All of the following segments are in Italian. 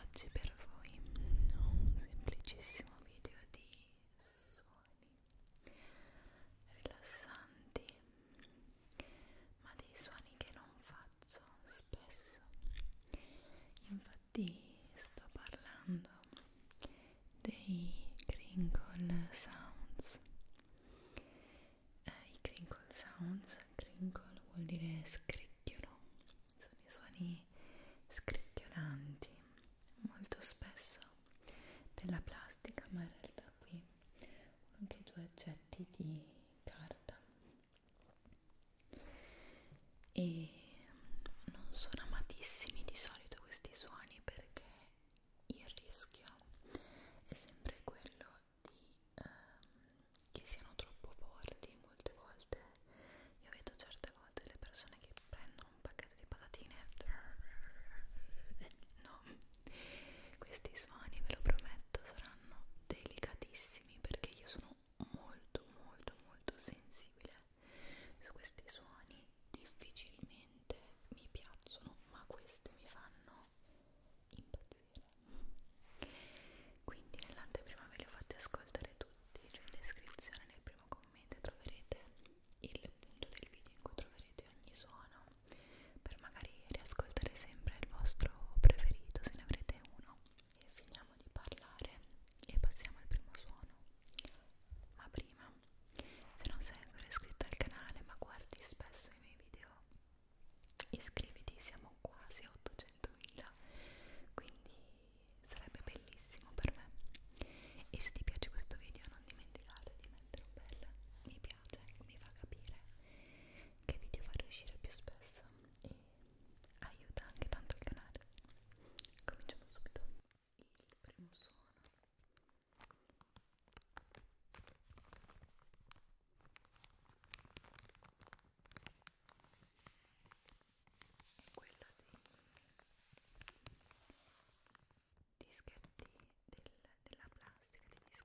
Oggi per voi ho un semplicissimo video di suoni rilassanti, ma dei suoni che non faccio spesso. Infatti sto parlando dei crinkle sounds eh, i crinkle sounds, crinkle vuol dire scricchiolo, sono i suoni scricchiolanti molto spesso della plastica ma in realtà qui ho anche due oggetti di carta e non sono amatissimi di solito questi suoni perché il rischio è sempre quello di, ehm, che siano troppo forti molte volte io vedo certe volte le persone che prendono un pacchetto di patatine no questi suoni ve lo prometto saranno delicatissimi perché io sono molto molto molto sensibile su questi suoni difficilmente mi piacciono ma questi mi fanno impazzire quindi nell'anteprima ve li ho fatti ascoltare tutti cioè in descrizione nel primo commento troverete il punto del video in cui troverete ogni suono per magari riascoltare sempre il vostro preferito se ne avrete uno e finiamo di parlare e passiamo al primo suono ma prima se non sei ancora iscritto al canale ma guardi spesso i miei video iscriviti, siamo quasi a 800.000 quindi sarebbe bellissimo per me e se ti piace questo video non dimenticare di mettere un bel mi piace, mi fa capire che video farò uscire più spesso e aiuta anche tanto il canale cominciamo subito il primo suono è quello dei dischetti del, della plastica, degli dischetti struccanti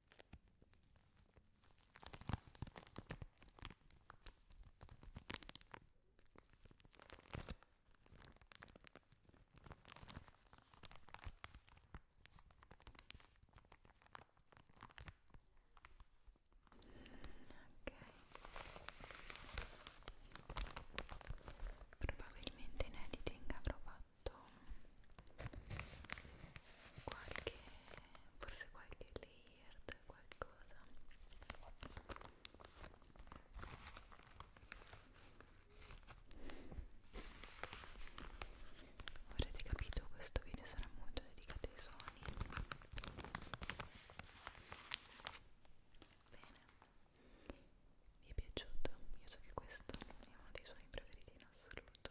probabilmente inediti avrò fatto qualche forse qualche layer qualcosa avrete capito questo video sarà molto dedicato ai suoni bene vi è piaciuto? Io so che questo è uno dei suoi preferiti in assoluto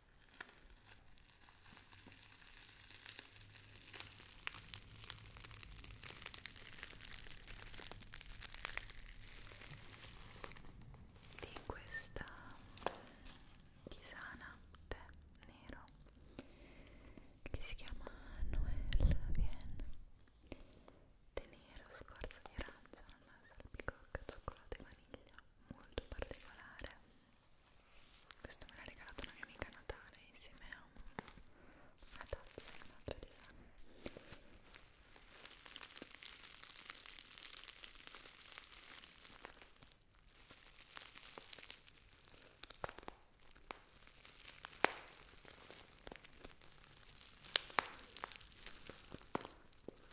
di questa tisana tè nero che si chiama Noel Vienne tè nero, scorza di arancia, salpicocca, cioccolato e vaniglia molto particolare questo me l'ha regalato una mia amica Natale insieme a un, una tazza e un'altra tisana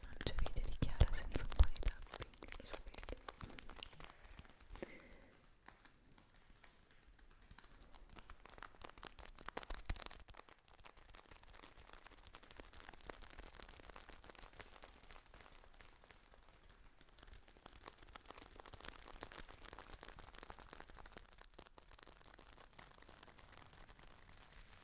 Non c'è video di Chiara senza un po' di tapping, lo sapete.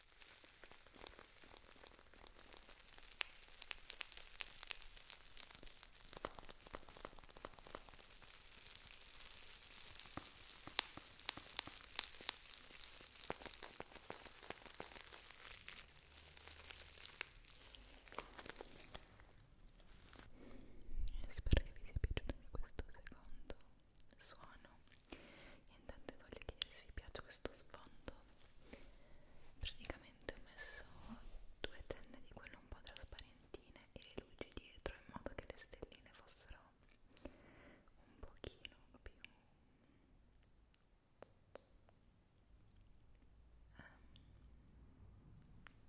Spero che vi sia piaciuto questo secondo suono e intanto voglio chiedere se vi piace questo sfondo praticamente ho messo due tende di quelle un po' trasparentine e le luci dietro in modo che le stelline fossero un pochino più um,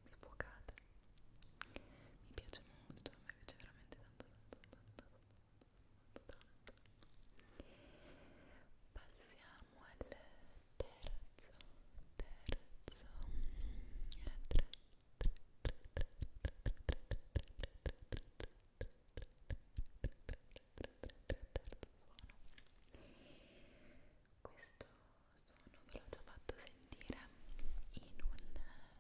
sfocate mi piace molto, mi piace veramente tanto tanto tanto tanto tanto passiamo al terzo terzo 3 questo suono ve l'ho già fatto sentire in un roleplay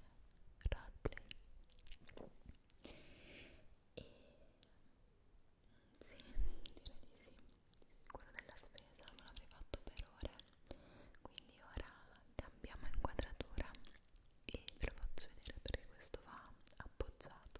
e sì, direi di sì quello della spesa non l'avrei fatto per ore quindi ora cambiamo inquadratura e ve lo faccio vedere perché questo va appoggiato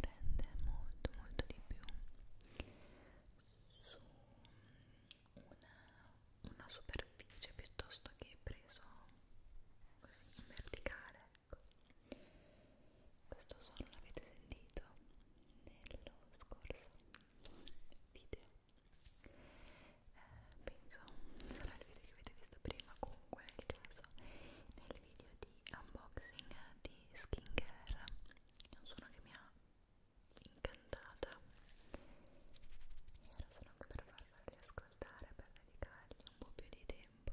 rende molto molto di più su una, una superficie piuttosto che preso così in verticale ecco. questo suono l'avete sentito nello scorso video eh, penso sarà il video che avete visto prima con comunque nel caso nel video di unboxing di skincare è un suono che mi ha incantata e ora sono qui per farvi ascoltare per dedicargli un po' più di tempo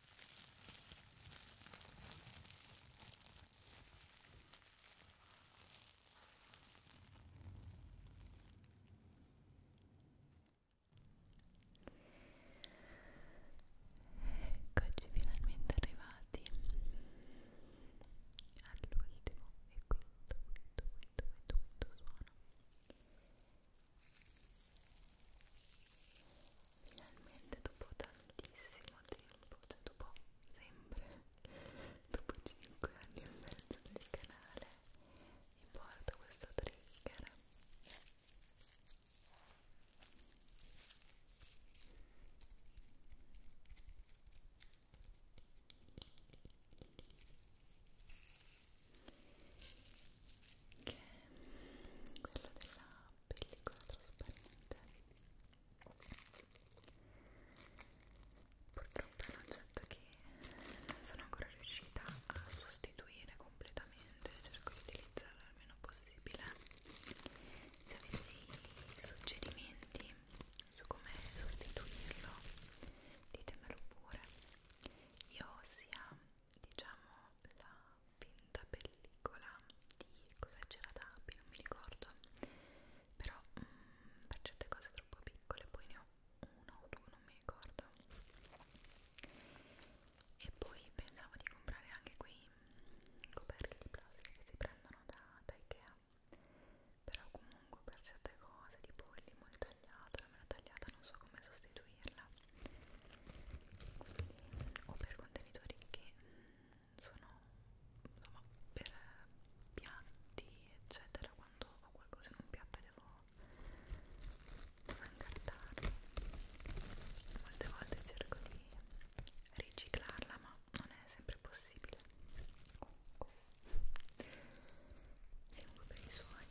Eccoci finalmente arrivati all'ultimo e quinto, quinto, quinto, quinto, quinto suono finalmente dopo tantissimo tempo, cioè dopo sempre, dopo 5 anni e mezzo del canale, vi porto questo trigger che è quello della pellicola trasparente purtroppo è un oggetto che sono ancora riuscita a sostituire completamente cerco di utilizzarlo il meno possibile se avete dei suggerimenti su come sostituirlo ditemelo pure io ho sia diciamo la finta pellicola di cosa c'era da api, non mi ricordo però mh, mm, per certe cose troppo piccole poi ne ho uno o due, non mi ricordo e poi pensavo di comprare anche quei mm, coperchi di plastica che si prendono da, da Ikea però comunque per certe cose tipo il limone tagliato, la mela tagliata non so come sostituirla quindi, o per contenitori che mh, mm, sono insomma per piatti eccetera quando ho qualcosa in un piatto devo, devo incartarlo molte volte cerco di riciclarla ma non è sempre possibile comunque per i suoni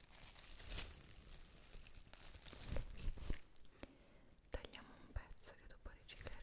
tagliamo un pezzo che dopo ricicleremo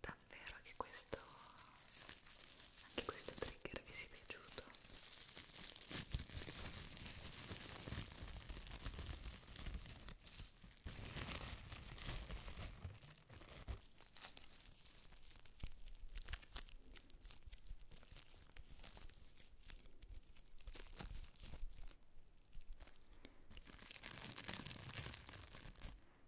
davvero che questo anche questo trigger vi sia piaciuto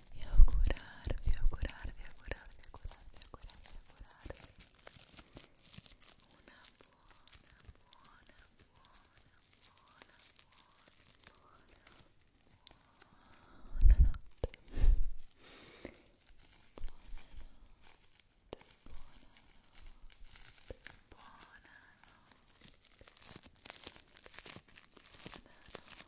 e augurarvi, augurarvi, augurarvi, augurarvi, augurarvi, augurarvi una buona, buona, buona, buona, buona, buona notte buonanotte, buonanotte, buonanotte, buonanotte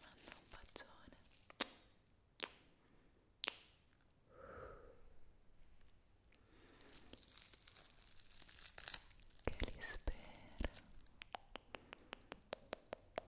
manda un bacione che li spera